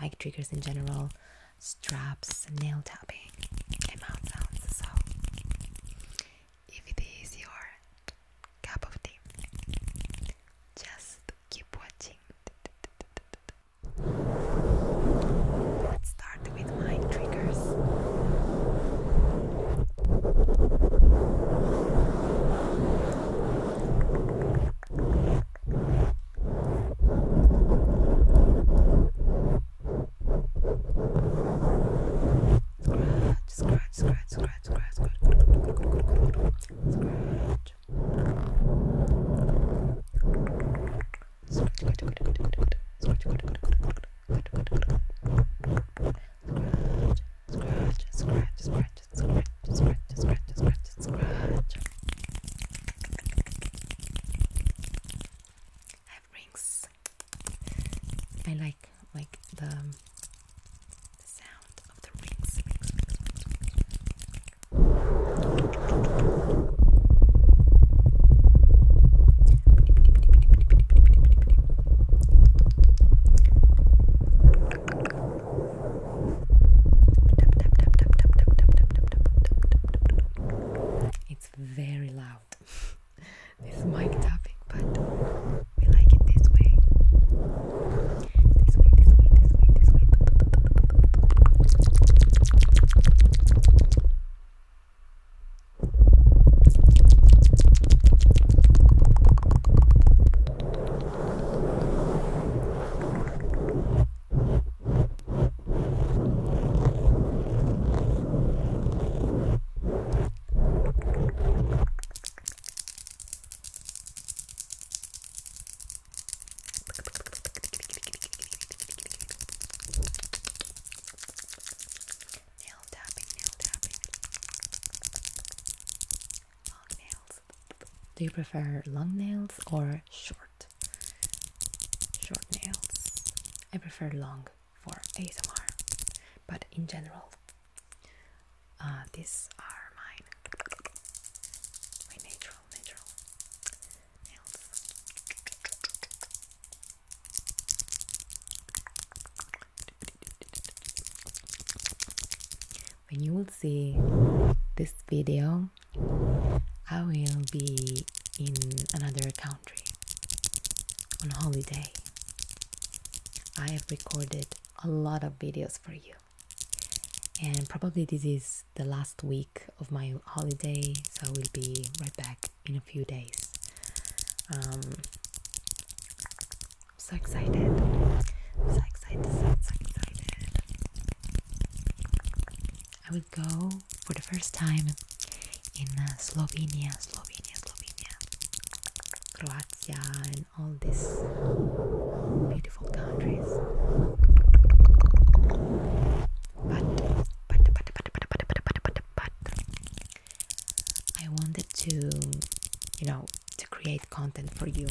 mic triggers in general, straps, nail tapping, mouth sounds. So, if it is your cup of tea, just keep watching. Let's start with my triggers. Scratch, scratch, scratch, scratch, scratch, scratch. Scratch, good, good, good, good. Scratch, good, good, good, good. Good, good, good. Scratch, scratch, scratch, scratch and scratch and scratch and scratch and scratch and scratch. I have rings. I like like the, um, the sound of the rings. rings, rings, rings, rings, rings. It's very loud, this mic tapping, but we like it this way. This way, this way, this way, this way. Nail tapping, nail tapping long nails. Do you prefer long nails or short? Short nails. I prefer long for ASMR, but in general, uh, these are mine. natural, natural nails when you will see this video, I will be in another country on holiday. I have recorded a lot of videos for you, and probably this is the last week of my holiday, so I will be right back in a few days. Um, I'm so excited. I'm so excited, so, so excited. I will go for the first time in Slovenia, Slovenia, Slovenia, Croatia, and all these beautiful countries. but, but, but, but, but, but, but, but, but, I wanted to, you know, to create content for you.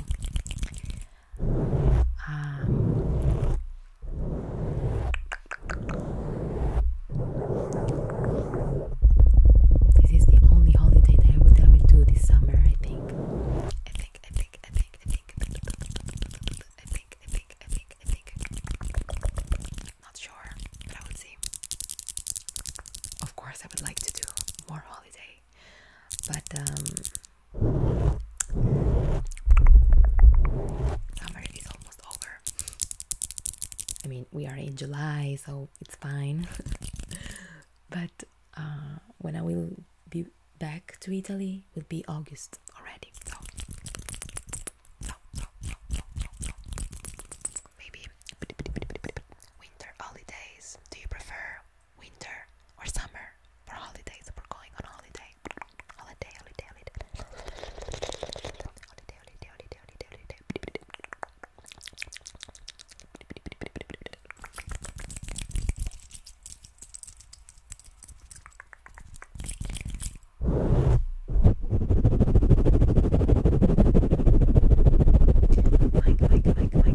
this is the only holiday that I would ever do this summer, I think. I think, I think, I think, I think, I think, I think, I think, I think, I think. Not sure, I would see. Of course, I would like to do more holiday but um, summer is almost over. I mean we are in July so it's fine. but uh, when I will be back to Italy will be August already. So Maybe winter holidays. Do you prefer winter or summer for holidays. we going on holiday. Holiday, holiday, holiday. Holiday, holiday, holiday, holiday, holiday. Mike, Mike, Mike, Mike,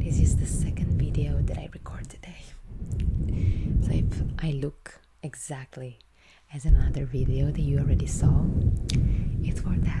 This is the second video that I record today. So if I look exactly as another video that you already saw, it's for that.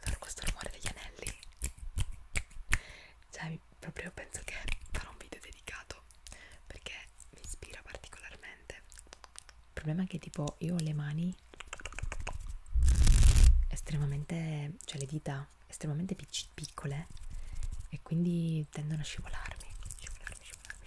Allora questo rumore degli anelli Cioè proprio penso che farò un video dedicato Perché mi ispira particolarmente Il problema è che tipo io ho le mani estremamente, cioè le dita estremamente piccole e quindi tendono a scivolarmi, scivolarmi, scivolarmi,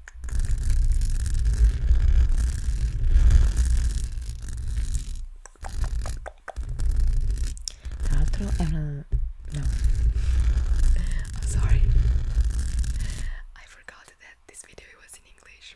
Tra l'altro no. I'm sorry. I forgot that this video was in English.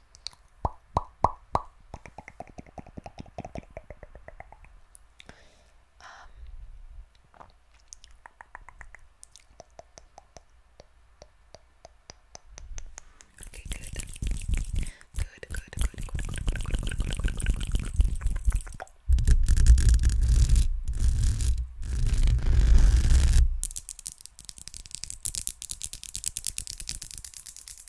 Um, okay, good. Good, good, good, good, good, good, good, good, good, good, good, good, good, good.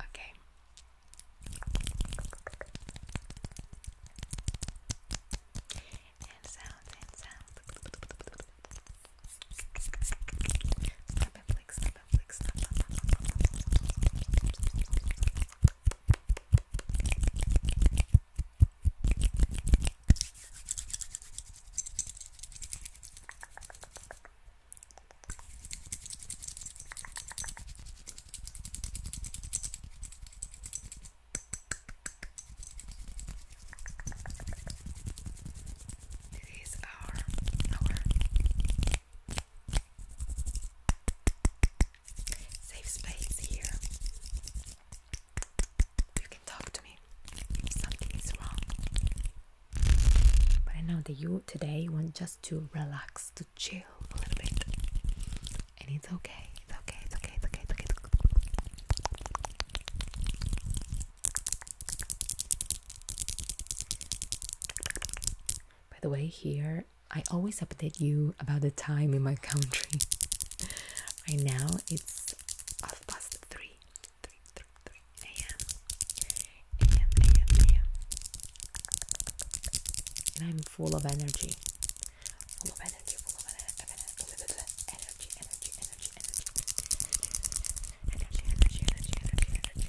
Okay. And sounds and sounds. Snap and flick, snap and flick, snap. snap, snap, snap, snap, snap, snap, snap, snap, snap, snap. It is our our safe space here you can talk to me something is wrong. But I know that you today want just to relax, to chill a little bit. And it's okay, it's okay, it's okay, it's okay. It's okay. By the way, here I always update you about the time in my country. right now it's half past three, three, three, three a.m. a.m. a.m. a.m. And I'm full of energy, full of energy, full of energy, energy, energy, energy, energy, energy, energy, energy, energy. energy.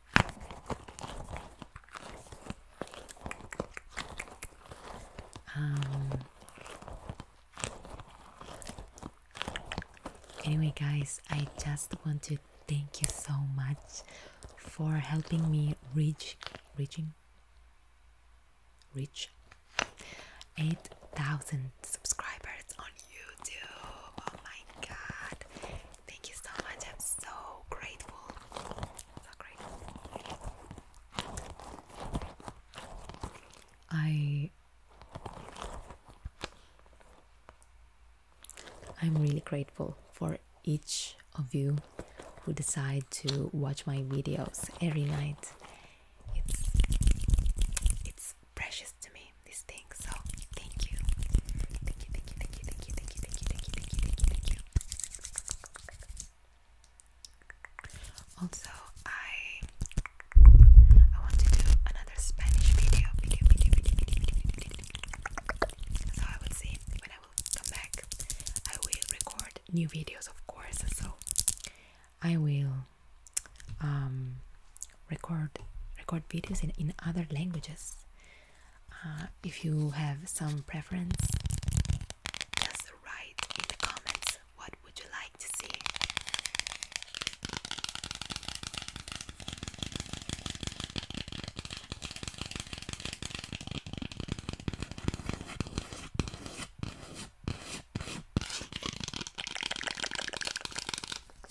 Um, anyway, guys, I just want to thank you so much for helping me reach, reaching, reach 8,000 subscribers on YouTube. Oh my god, Thank you so much. I'm so grateful. I am really grateful for each of you who decide to watch my videos every night. It's it's precious to me this thing, so Thank you. Also, I I want to do another Spanish video. So I will see when I will come back. I will record new videos, of course. So I will um record record videos in in other languages uh, if you have some preference, just write in the comments what would you like to see.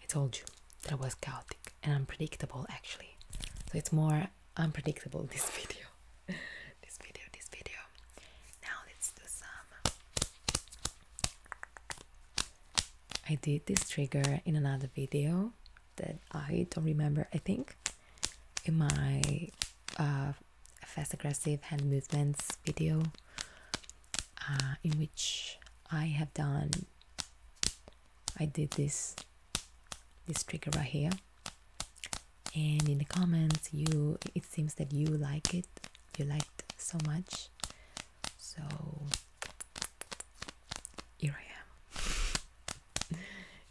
I told you that I was chaotic and unpredictable actually. So it's more unpredictable this video. this video, this video. Now let's do some. I did this trigger in another video that I don't remember, I think, in my uh, fast aggressive hand movements video. Uh, in which I have done I did this this trick right here and in the comments you it seems that you like it you liked so much so here I am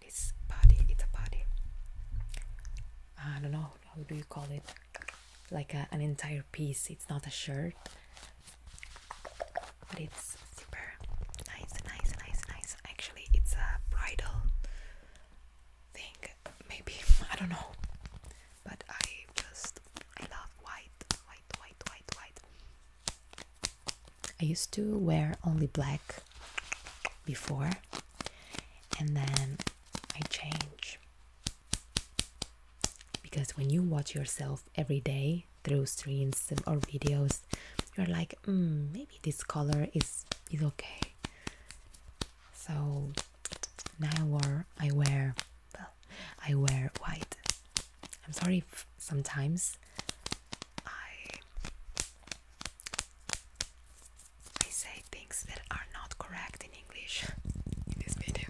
It's body. It's a body. I don't know. How do you call it? Like an entire piece. It's not a shirt, but it's super nice, nice, nice, nice. Actually, it's a bridal thing. Maybe I don't know, but I just I love white, white, white, white, white. I used to wear only black before, and then I change. Because when you watch yourself every day through streams or videos, you're like, mm, maybe this color is is okay. So now I wear, I wear, well, I wear white I'm sorry sometimes I I say things that are not correct in English in this video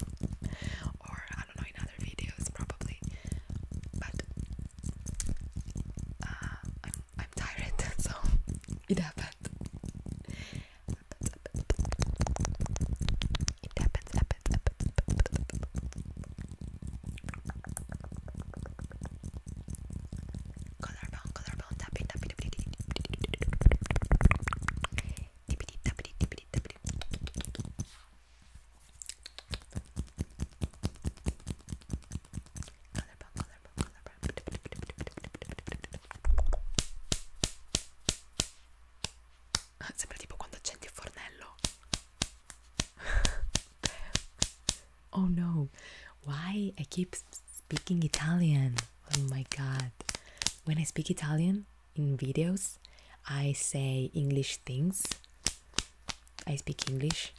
or I don't know in other videos probably but uh, I'm, I'm tired so it happens. colorbound colorbound tapping tapping tapping tapping tapping tapping tapping colorbound colorbound colorbound oh no why I keep speaking Italian oh my god when I speak Italian in videos I say English things I speak English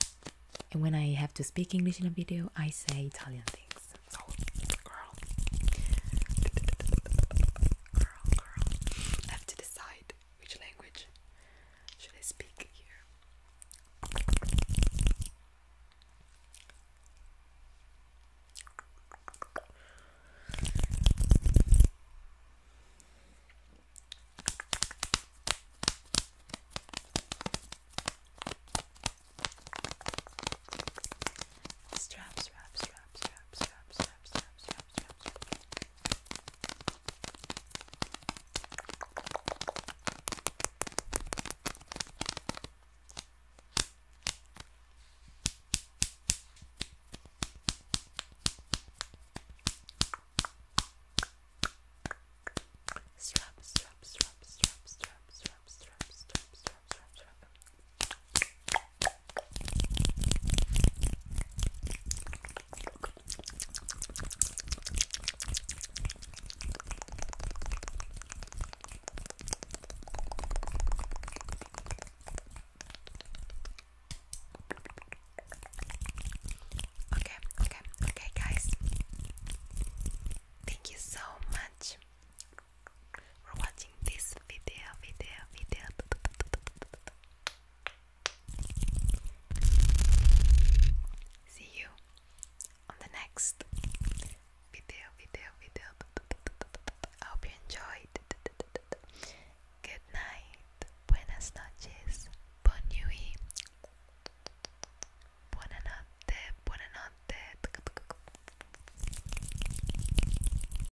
and when I have to speak English in a video I say Italian things so girl girl girl I have to which language should I speak here? Straps, straps, straps, straps, straps, straps, straps, straps, Strap, strap, strap, strap, strap, strap, strap, strap, strap, strap, strap. Okay, okay, okay, guys. Thank you so much for watching this video, video, video. See you on the next video, video, video. I hope you enjoyed. Good night, buenas noches, bon nuit, buena notte,